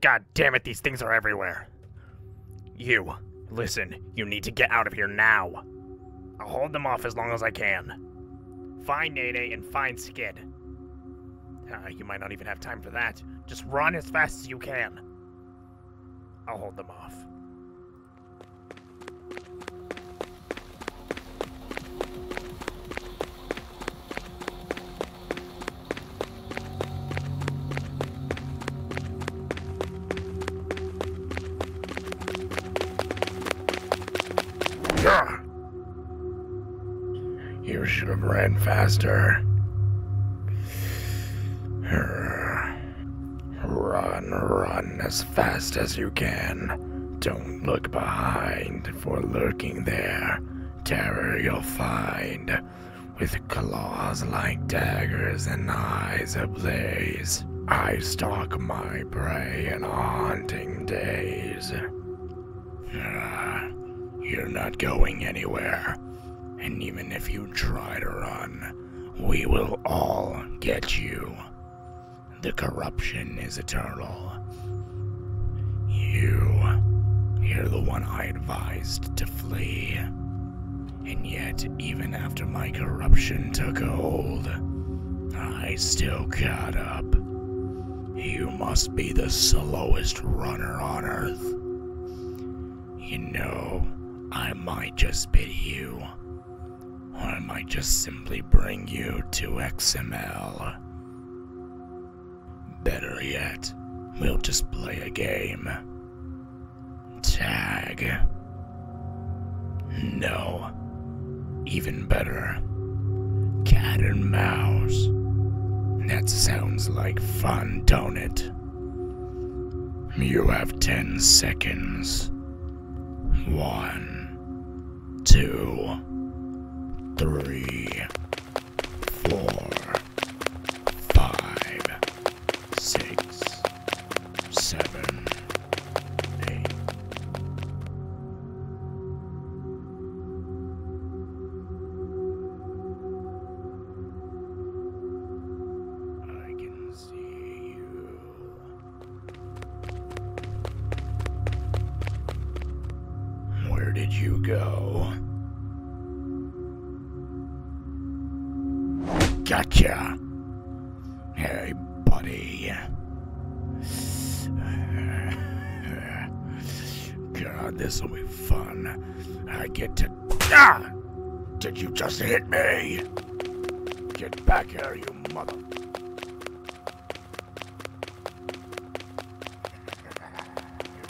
God damn it, these things are everywhere. You, listen, you need to get out of here now. I'll hold them off as long as I can. Find Nene and find Skid. Ah, you might not even have time for that. Just run as fast as you can. I'll hold them off. You should have ran faster. Run, run as fast as you can. Don't look behind, for lurking there, terror you'll find with claws like daggers and eyes ablaze. I stalk my prey in haunting days. Uh, you're not going anywhere. And even if you try to run, we will all get you. The corruption is eternal. You. You're the one I advised to flee. And yet, even after my corruption took hold, I still got up. You must be the slowest runner on Earth. You know, I might just bid you, or I might just simply bring you to XML. Better yet, we'll just play a game. Tag. No. Even better. Cat and mouse. That sounds like fun, don't it? You have ten seconds. One, two, three, four, five, six, seven, eight. I can see you. Where did you go? Gotcha. Hey, buddy. God, this will be fun. I get to. Ah! Did you just hit me? Get back here, you mother.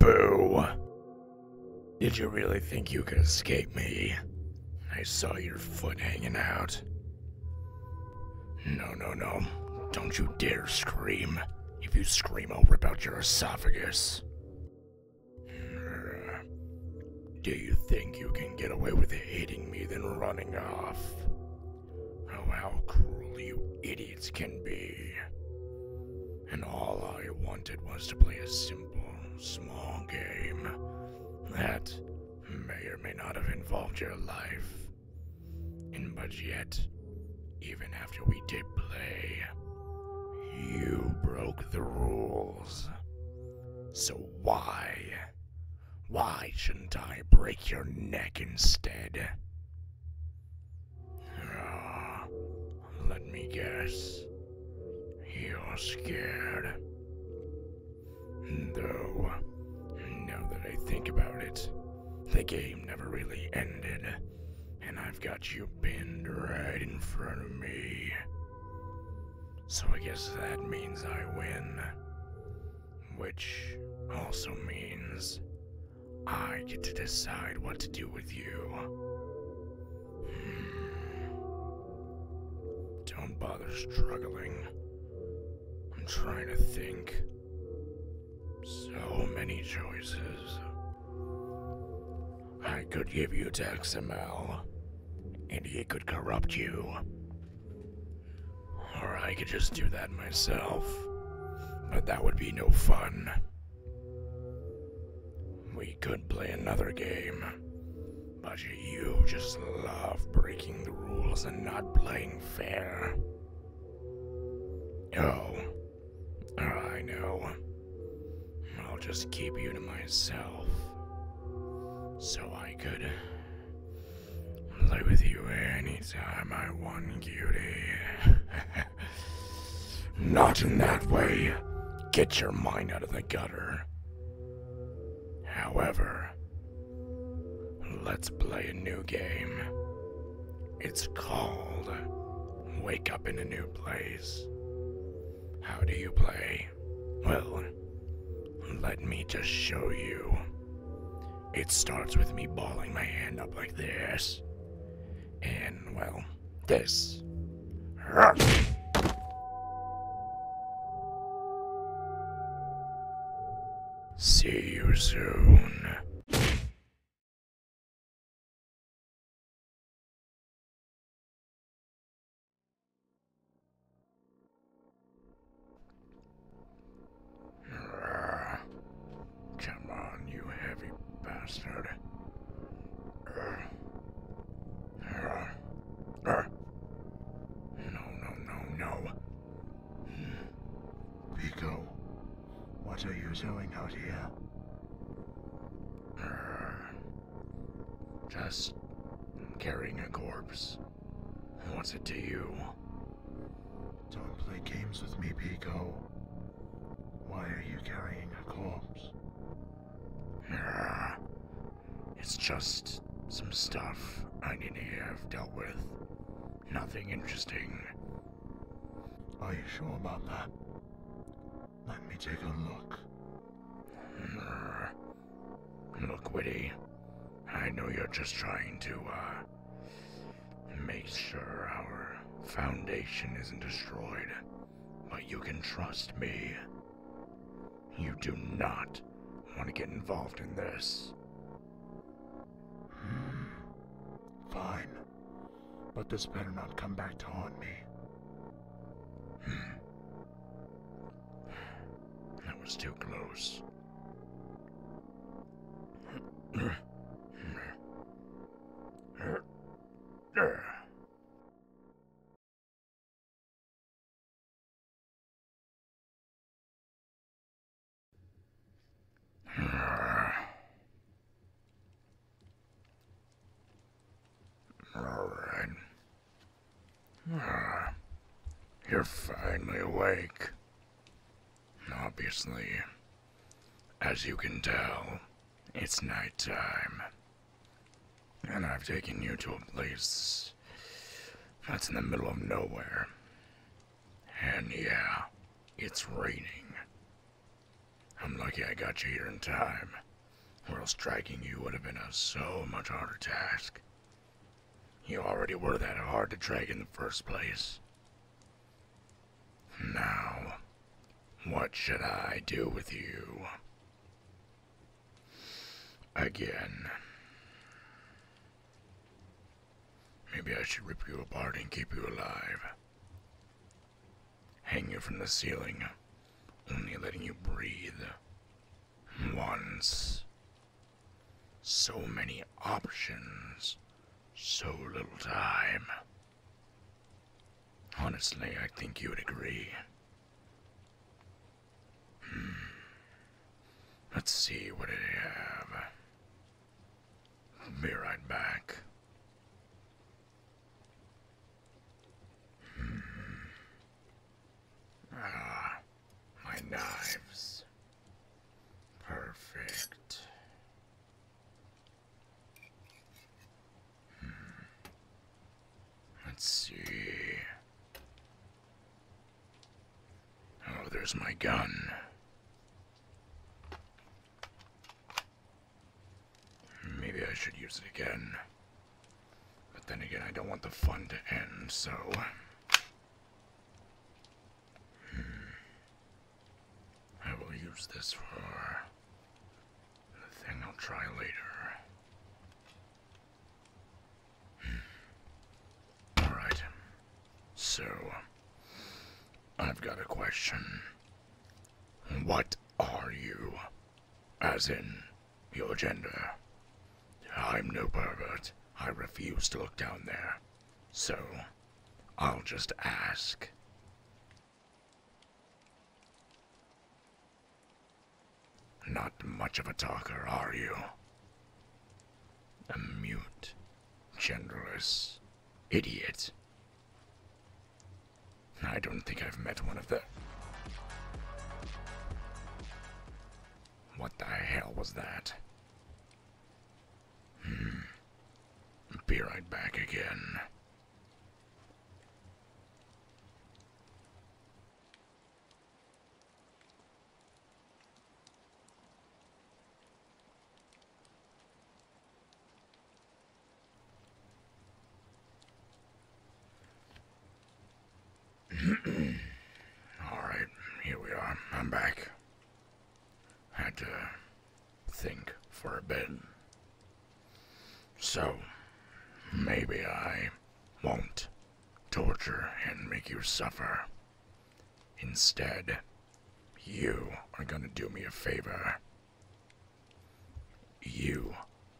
Boo. Did you really think you could escape me? I saw your foot hanging out. No, no, no. Don't you dare scream. If you scream, I'll rip out your esophagus. Do you think you can get away with hating me then running off? Oh, how cruel you idiots can be. And all I wanted was to play a simple, small game that may or may not have involved your life. And but yet, even after we did play, you broke the rules. So why? Why shouldn't I break your neck instead? Ah, let me guess. You're scared. Though, now that I think about it, the game never really ended, and I've got you pinned right in front of me. So I guess that means I win. Which also means I get to decide what to do with you. Hmm. Don't bother struggling. I'm trying to think. So many choices. I could give you XML and he could corrupt you. Or I could just do that myself, but that would be no fun. We could play another game, but you just love breaking the rules and not playing fair. Oh, I know. I'll just keep you to myself. So I could play with you anytime I want, beauty. Not in that way. Get your mind out of the gutter. However, let's play a new game. It's called Wake Up in a New Place. How do you play? Well, let me just show you. It starts with me balling my hand up like this. And, well, this. See you soon. Come on, you heavy bastard. No, no, no, no. Pico, what are you doing out here? Just carrying a corpse. What's it to you? Don't play games with me, Pico. Why are you carrying a corpse? It's just some stuff I need to have dealt with. Nothing interesting. Are you sure about that? Let me take a look. Look, Whitty. I know you're just trying to, uh, make sure our foundation isn't destroyed. But you can trust me. You do not want to get involved in this. Hmm. Fine. But this better not come back to haunt me. Hmm. That was too close. Alright. Ah, you're finally awake. Obviously. As you can tell, it's night time, And I've taken you to a place that's in the middle of nowhere. And yeah, it's raining. I'm lucky I got you here in time. Well, striking you would have been a so much harder task. You already were that hard to track in the first place. Now, what should I do with you? Again. Maybe I should rip you apart and keep you alive hanging from the ceiling, only letting you breathe once. So many options, so little time. Honestly, I think you would agree. Hmm. Let's see what I have. be right back. Hmm. Ah, my knives. Perfect. Hmm. Let's see. Oh, there's my gun. Maybe I should use it again. But then again, I don't want the fun to end, so... Hmm, I will use this for the I'll try later. Hmm. Alright. So, I've got a question. What are you? As in, your gender. I'm no pervert. I refuse to look down there. So, I'll just ask. Not much of a talker, are you? A mute, generous, idiot. I don't think I've met one of them. What the hell was that? Hmm. Be right back again. Alright, here we are. I'm back. Had to think for a bit. So, maybe I won't torture and make you suffer. Instead, you are gonna do me a favor. You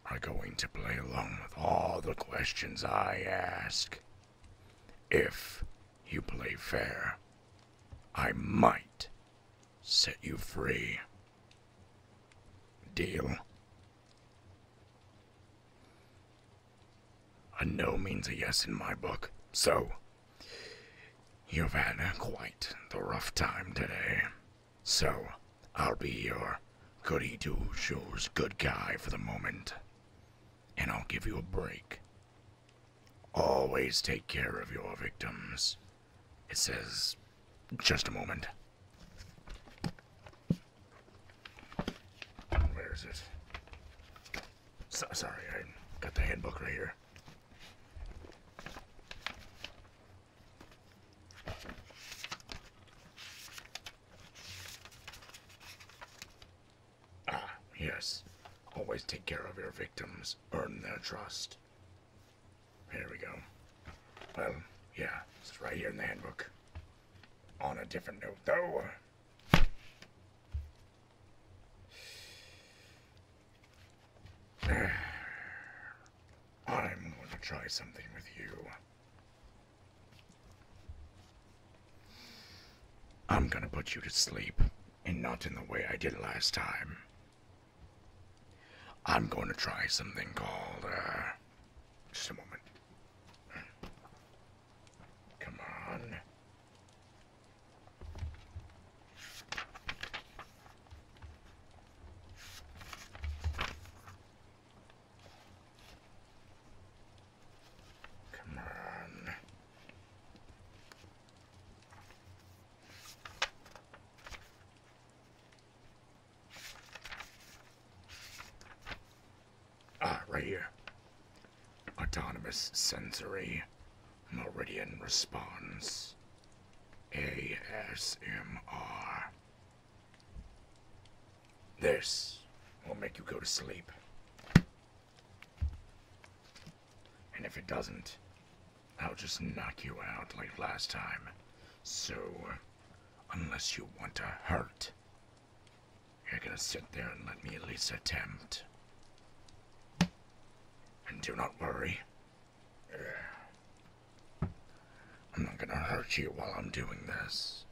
are going to play along with all the questions I ask. If you play fair, I might set you free. Deal? A no means a yes in my book, so you've had quite the rough time today. So, I'll be your goody two shoes good guy for the moment. And I'll give you a break. Always take care of your victims. It says, just a moment. Where is it? So, sorry, I got the handbook right here. Ah, yes. Always take care of your victims. Earn their trust. Here we go. Well, yeah, it's right here in the handbook. On a different note, though. I'm going to try something with you. I'm gonna put you to sleep, and not in the way I did last time. I'm going to try something called, uh, just a moment. Come on. Come on. Ah, right here. Autonomous sensory meridian response. ASMR. This will make you go to sleep. And if it doesn't, I'll just knock you out like last time. So, unless you want to hurt, you're gonna sit there and let me at least attempt. And do not worry. I'm not gonna hurt you while I'm doing this.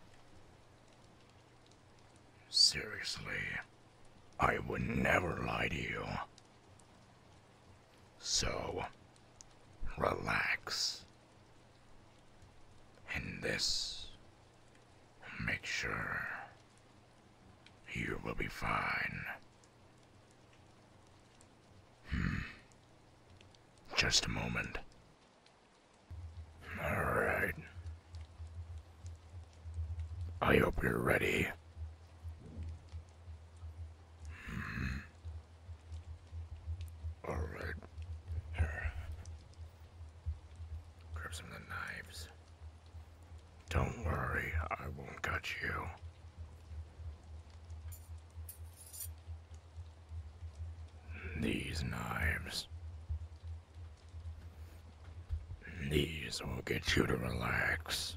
Seriously, I would never lie to you. So, relax. And this, make sure you will be fine. Hmm. Just a moment. Alright. I hope you're ready. Hmm. Alright. Grab some the knives. Don't worry, I won't cut you. These knives. These will get you to relax.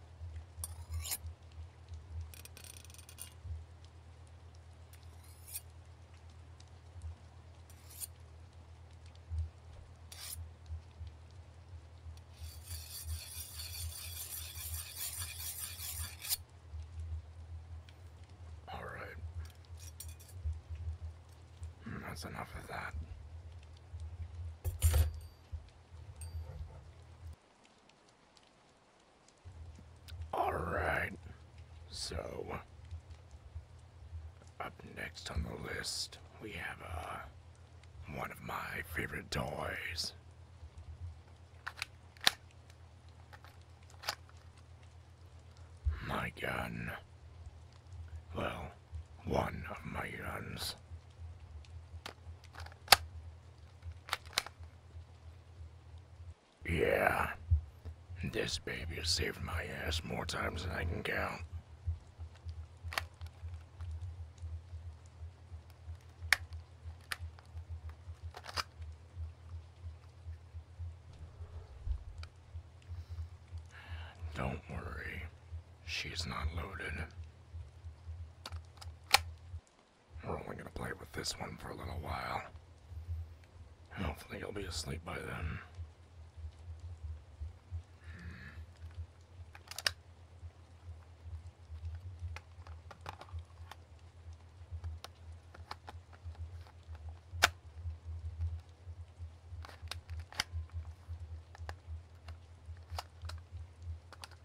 All right. Hmm, that's enough of that. Alright, so up next on the list we have uh, one of my favorite toys. My gun. Well, one of my guns. Yeah. This baby has saved my ass more times than I can count. Don't worry. She's not loaded. We're only gonna play with this one for a little while. Hopefully he will be asleep by then.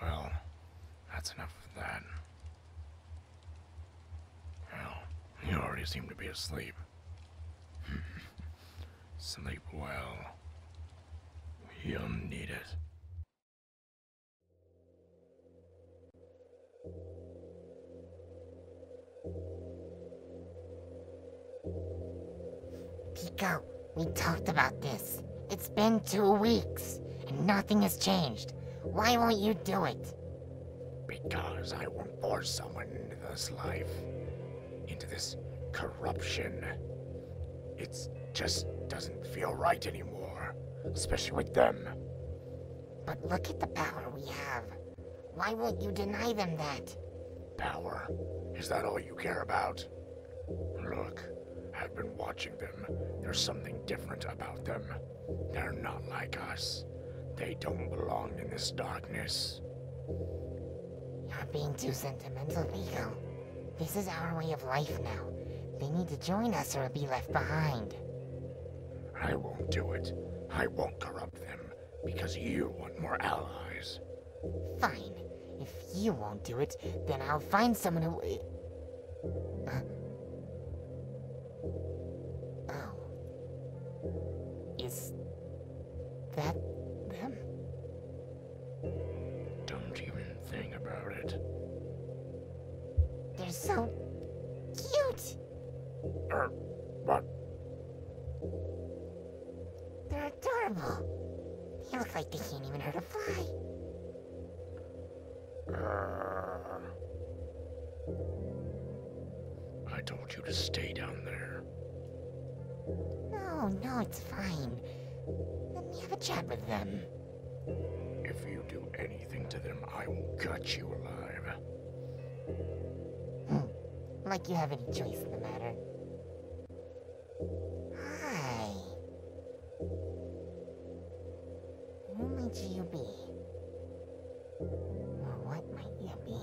Well, that's enough of that. Well, you already seem to be asleep. Sleep well. You'll need it. Pico, we talked about this. It's been two weeks, and nothing has changed. Why won't you do it? Because I won't force someone into this life, into this corruption. It just doesn't feel right anymore, especially with them. But look at the power we have. Why would you deny them that? Power? Is that all you care about? Look, I've been watching them. There's something different about them. They're not like us. They don't belong in this darkness. You're being too sentimental, Vigo. This is our way of life now. They need to join us or be left behind. I won't do it. I won't corrupt them, because you want more allies. Fine. If you won't do it, then I'll find someone who... Uh, Oh. Is that them? Don't even think about it. They're so cute. Er, what? They're adorable. They look like they can't even hurt a fly. Er, I told you to stay down there. No, no, it's fine. Let me have a chat with them. If you do anything to them, I will gut you alive. Hmm. Like you have any choice in the matter. Hi. Who might you be? what might you be?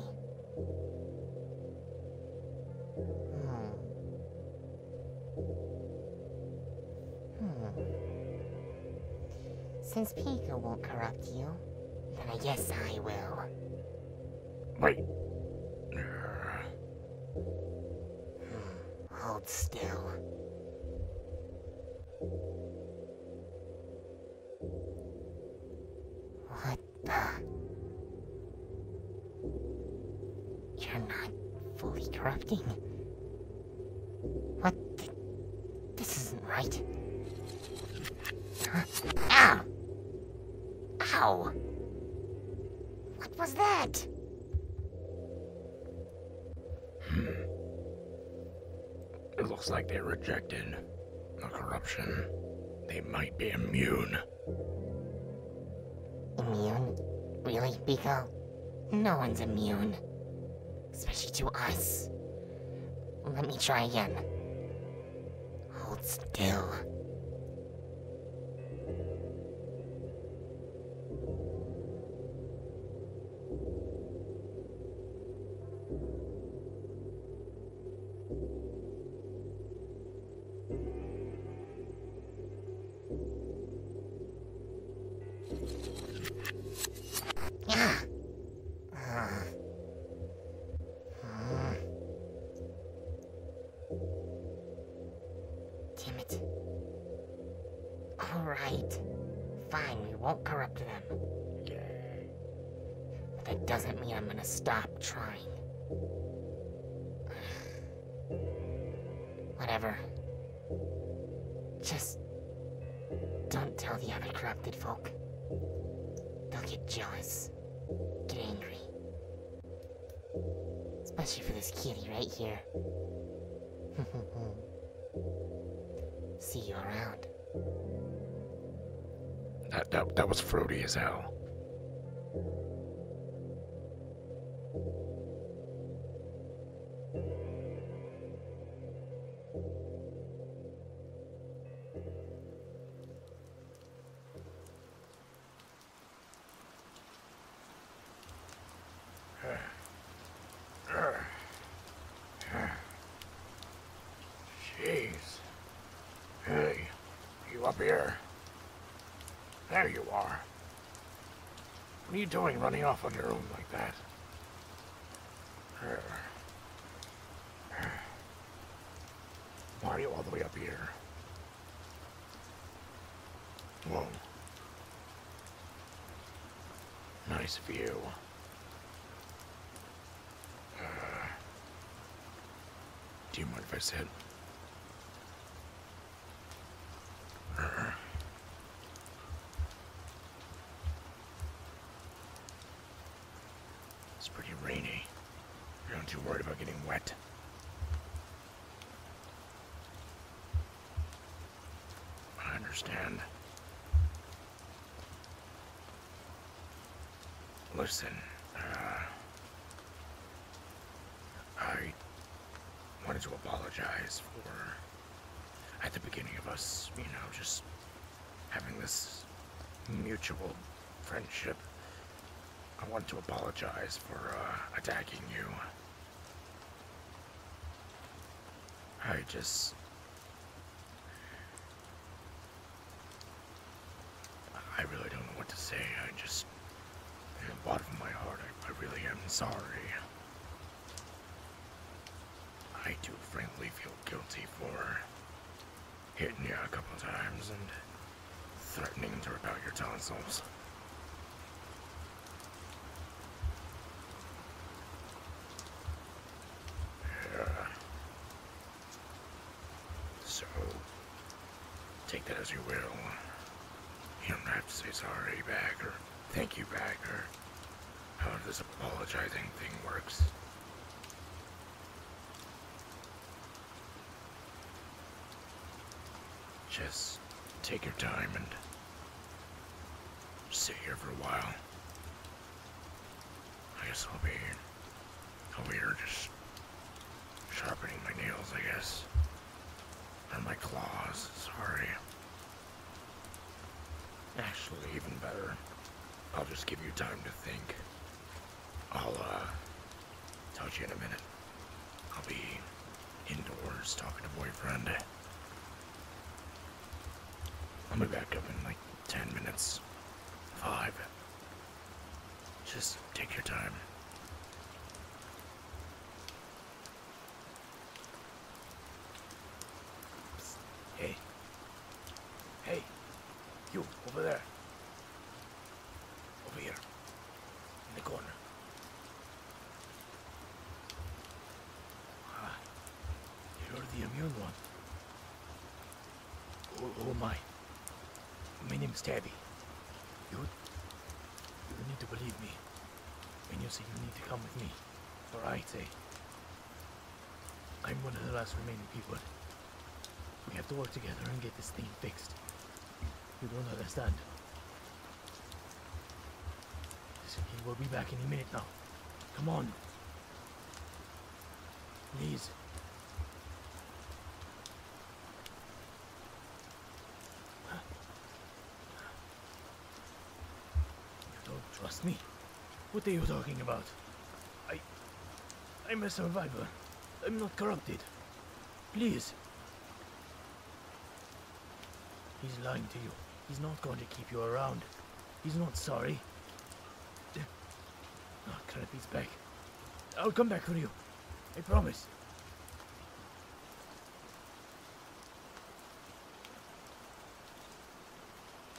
Hmm. Hmm. Since Pico won't corrupt you, then I guess I will. Wait. Hmm. Hold still. What the? You're not fully corrupting. What? this isn't right. Ow! Ow! What was that? It looks like they rejected the corruption. They might be immune. Immune? Really, Biko? No one's immune. Especially to us. Let me try again. Hold still. All right. Fine, we won't corrupt them. But that doesn't mean I'm gonna stop trying. Whatever. Just don't tell the other corrupted folk. They'll get jealous, get angry. Especially for this kitty right here. See you around. That, that, that was fruity as hell. Jeez. Hey, you up here? There you are. What are you doing running off on your own like that? Why are you all the way up here? Whoa. Nice view. Uh, do you mind if I sit? Uh, it's pretty rainy. you not too worried about getting wet. I understand. Listen, uh, I wanted to apologize for, at the beginning of us, you know, just having this mutual friendship. I want to apologize for uh, attacking you. I just I really don't know what to say. I just, in the bottom of my heart, I, I really am sorry. I do frankly feel guilty for hitting you a couple times and threatening to rip out your tonsils. So, take that as you will. You don't have to say sorry bagger. thank you bagger. how this apologizing thing works. Just take your time and sit here for a while. I guess I'll be here. I'll be here just sharpening my nails, I guess. Or my claws, sorry. Actually, even better, I'll just give you time to think. I'll, uh, touch you in a minute. I'll be indoors talking to boyfriend. I'll be back up in like 10 minutes. 5. Just take your time. Hey. Hey. You, over there. Over here. In the corner. Ah. You're the immune one. Who, my. am I? My Tabby. You, need to believe me. when you say you need to come with me. Or I I'm one of the last remaining people. We have to work together and get this thing fixed. You don't understand. He will be back any minute now. Come on. Please. You don't trust me? What are you talking about? I... I'm a survivor. I'm not corrupted. Please. He's lying to you. He's not going to keep you around. He's not sorry. Oh, crap, he's back. I'll come back for you. I promise.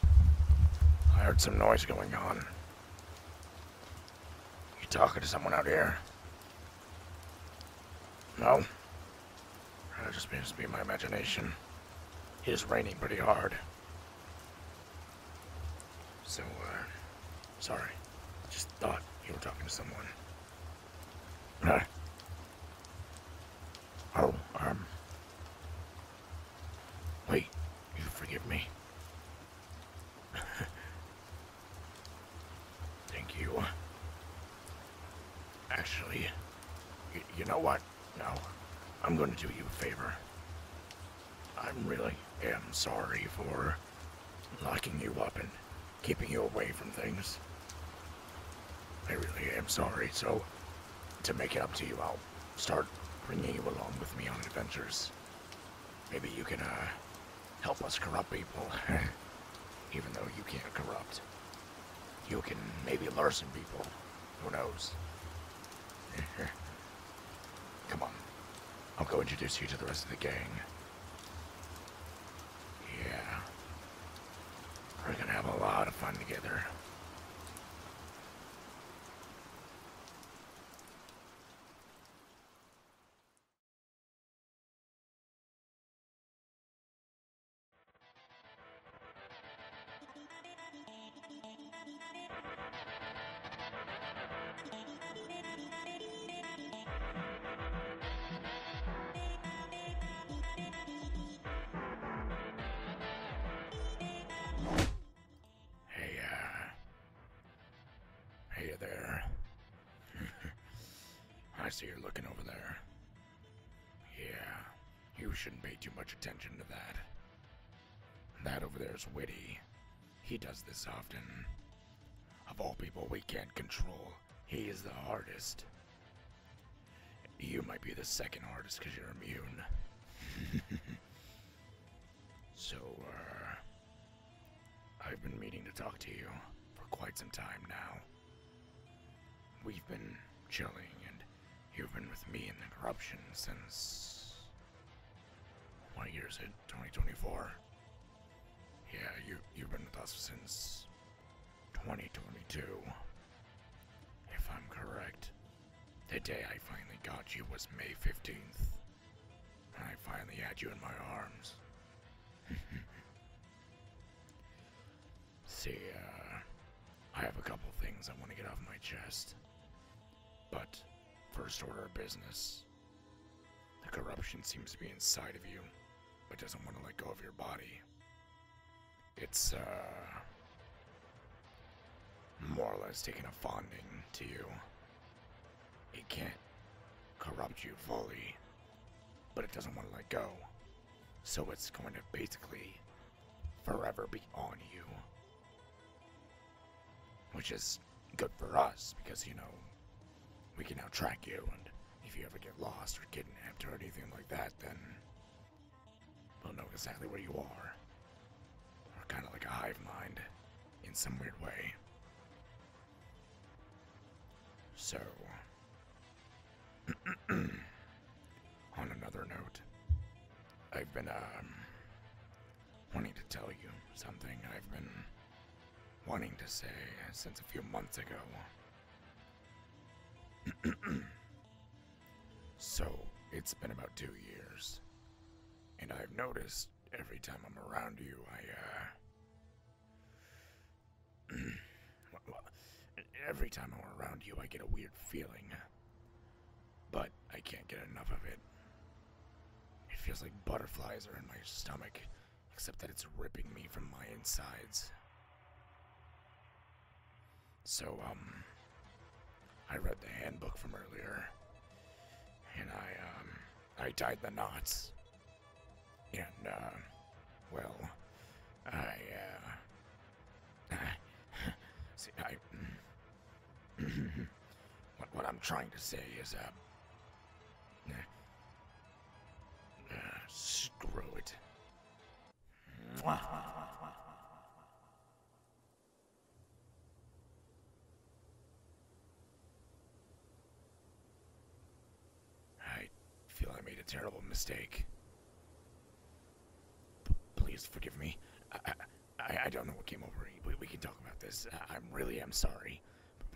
I heard some noise going on. You talking to someone out here? No? It just seems to be my imagination. It is raining pretty hard. So, uh, sorry. Just thought you were talking to someone. Uh, oh, um. Wait, you forgive me. Thank you. Actually, you know what? No, I'm going to do you a favor. I really am sorry for locking you up and keeping you away from things. I really am sorry, so to make it up to you, I'll start bringing you along with me on adventures. Maybe you can, uh, help us corrupt people. Even though you can't corrupt. You can maybe lure some people. Who knows? Come on. I'll go introduce you to the rest of the gang. Yeah. We're gonna have a lot of fun together. Uh, hey, there! I see you're looking over there. Yeah, you shouldn't pay too much attention to that. That over there's Witty. He does this often. Of all people we can't control, he is the hardest. You might be the second hardest because you're immune. so, uh, I've been meaning to talk to you for quite some time now. We've been chilling and You've been with me in the corruption since. What year is 2024? Yeah, you, have been with us since 2022. If I'm correct, the day I finally got you was May 15th. And I finally had you in my arms. See, uh, I have a couple things I want to get off my chest. But, first order of business. The corruption seems to be inside of you, but doesn't want to let go of your body. It's, uh, more or less taking a fondling to you. It can't corrupt you fully, but it doesn't want to let go. So it's going to basically forever be on you. Which is good for us because, you know, we can now track you, and if you ever get lost or kidnapped or anything like that, then we'll know exactly where you are. We're kind of like a hive mind in some weird way. So. on another note, I've been um, wanting to tell you something I've been wanting to say since a few months ago. so, it's been about two years, and I've noticed every time I'm around you, I, uh, every time I'm around you, I get a weird feeling. But I can't get enough of it. It feels like butterflies are in my stomach, except that it's ripping me from my insides. So, um, I read the handbook from earlier, and I, um, I tied the knots. And, uh, well, I, uh, See, I. what, I'm trying to say is, uh. uh screw it. I feel I made a terrible mistake please forgive me. I, I, I don't know what came over me. We, can talk about this. I, I really am sorry.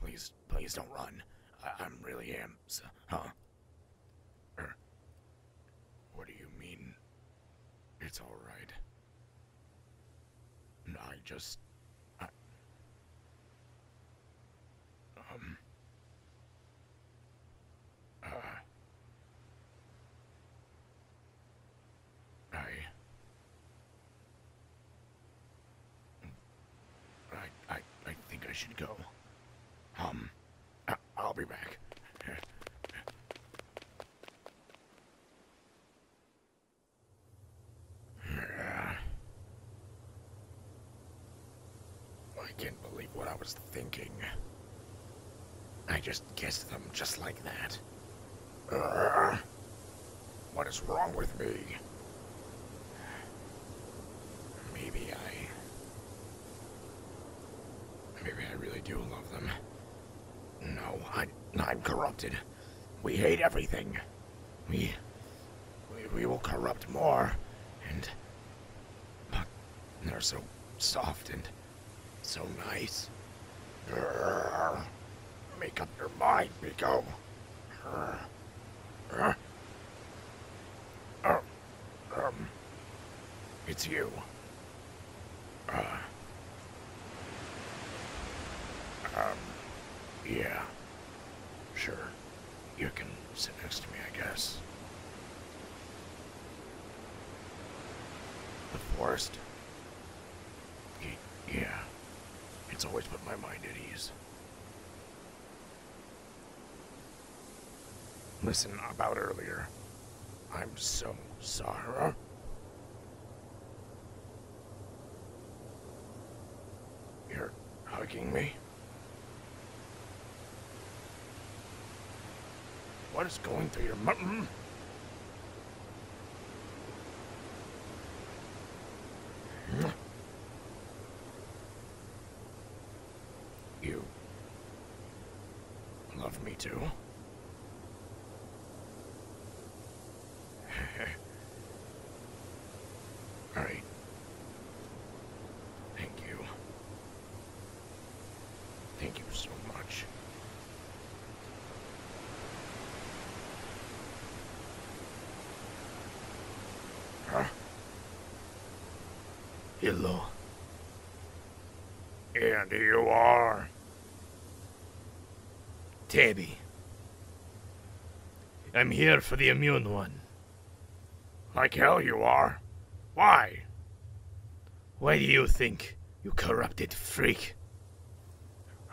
please, please don't run. I, am really am. So, huh? Er, what do you mean? It's alright. I just. um. Uh, I. I, I, I think I should go. Um, I, will be back. I can't believe what I was thinking. I just kissed them just like that. what is wrong with me? Maybe I... Maybe I really do love them. No, I, am corrupted. We hate everything. We, we... We will corrupt more, and... But they're so soft and... So nice. Make up your mind, Rico. Grrr. Oh, um, it's you. Uh, um, yeah. Sure. You can sit next to me, I guess. The forest yeah. It's always put my mind at ease. Listen about earlier. I'm so sorry. You're hugging me? What is going through your mind? Mm? Mm. You love me too? All right. Thank you. Thank you so much. Hello. And you are... Tabby. I'm here for the immune one. Like hell you are. Why? Why do you think, you corrupted freak?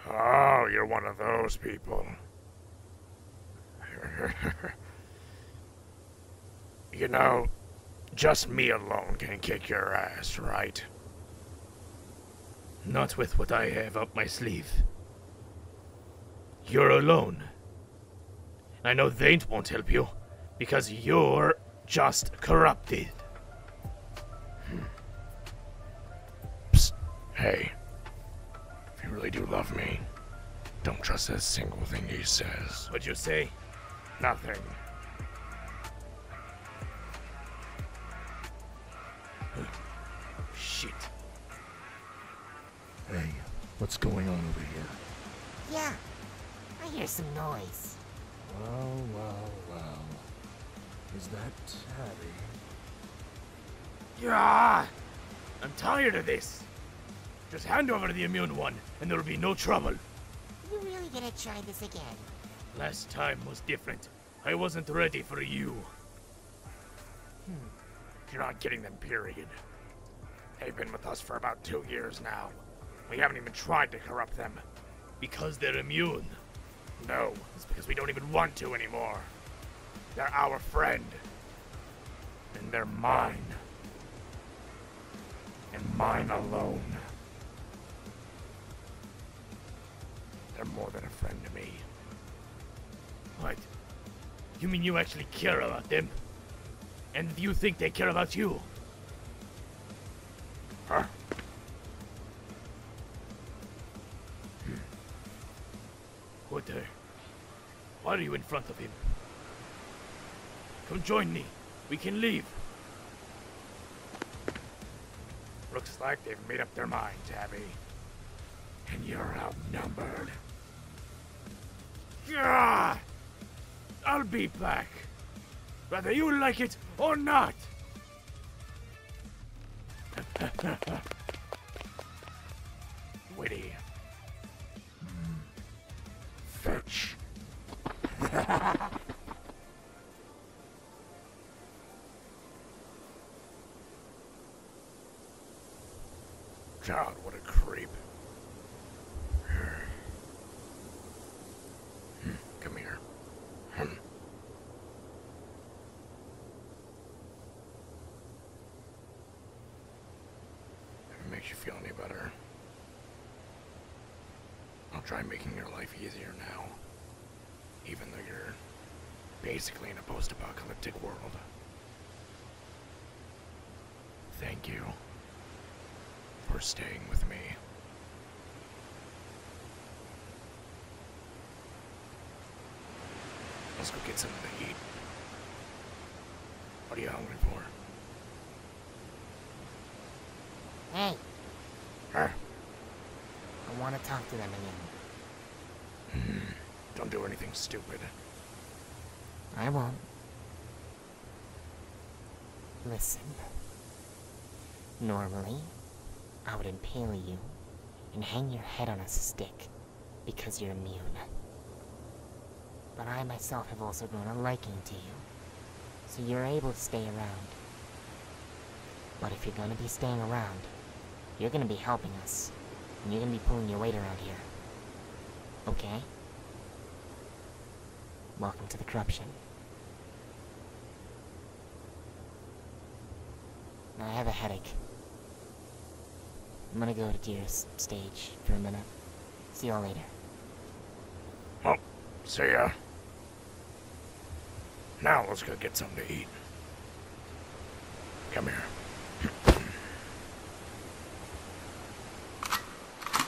Oh, you're one of those people. you know, just me alone can kick your ass, right? Not with what I have up my sleeve. You're alone. I know they won't help you, because you're just corrupted. Hmm. Hey, if you really do love me, don't trust a single thing he says. What'd you say? Nothing. Shit. Hey, what's going on over here? Yeah, I hear some noise. Well, well, well. Is that Tabby? Yeah! I'm tired of this! Just hand over the immune one, and there'll be no trouble. you really gonna try this again? Last time was different. I wasn't ready for you. Hmm. You're not getting them, period. They've been with us for about two years now. We haven't even tried to corrupt them because they're immune. No, it's because we don't even want to anymore. They're our friend. And they're mine. And mine alone. They're more than a friend to me. What? You mean you actually care about them? And you think they care about you? Huh. Hmm. What the? Why are you in front of him? Come join me. We can leave. Looks like they've made up their minds, Abby. And you're outnumbered. Gah! I'll be back whether you like it or not. Witty. Fetch. God, what a creep. Hmm, come here. Hmm. If it makes you feel any better, I'll try making your life easier now, even though you're basically in a post apocalyptic world. Thank you for staying with me Let's go get some of the heat. What are you hungry for? Hey. Huh? I want to talk to them again. Mm-hmm. Don't do anything stupid. I won't. Listen. Normally, I would impale you and hang your head on a stick because you're immune. But I myself have also grown a liking to you, so you're able to stay around. But if you're gonna be staying around, you're gonna be helping us, and you're gonna be pulling your weight around here. Okay? Welcome to the corruption. I have a headache. I'm gonna go to Deer's stage for a minute. See y'all later. Well, see ya. Now let's go get something to eat. Come here.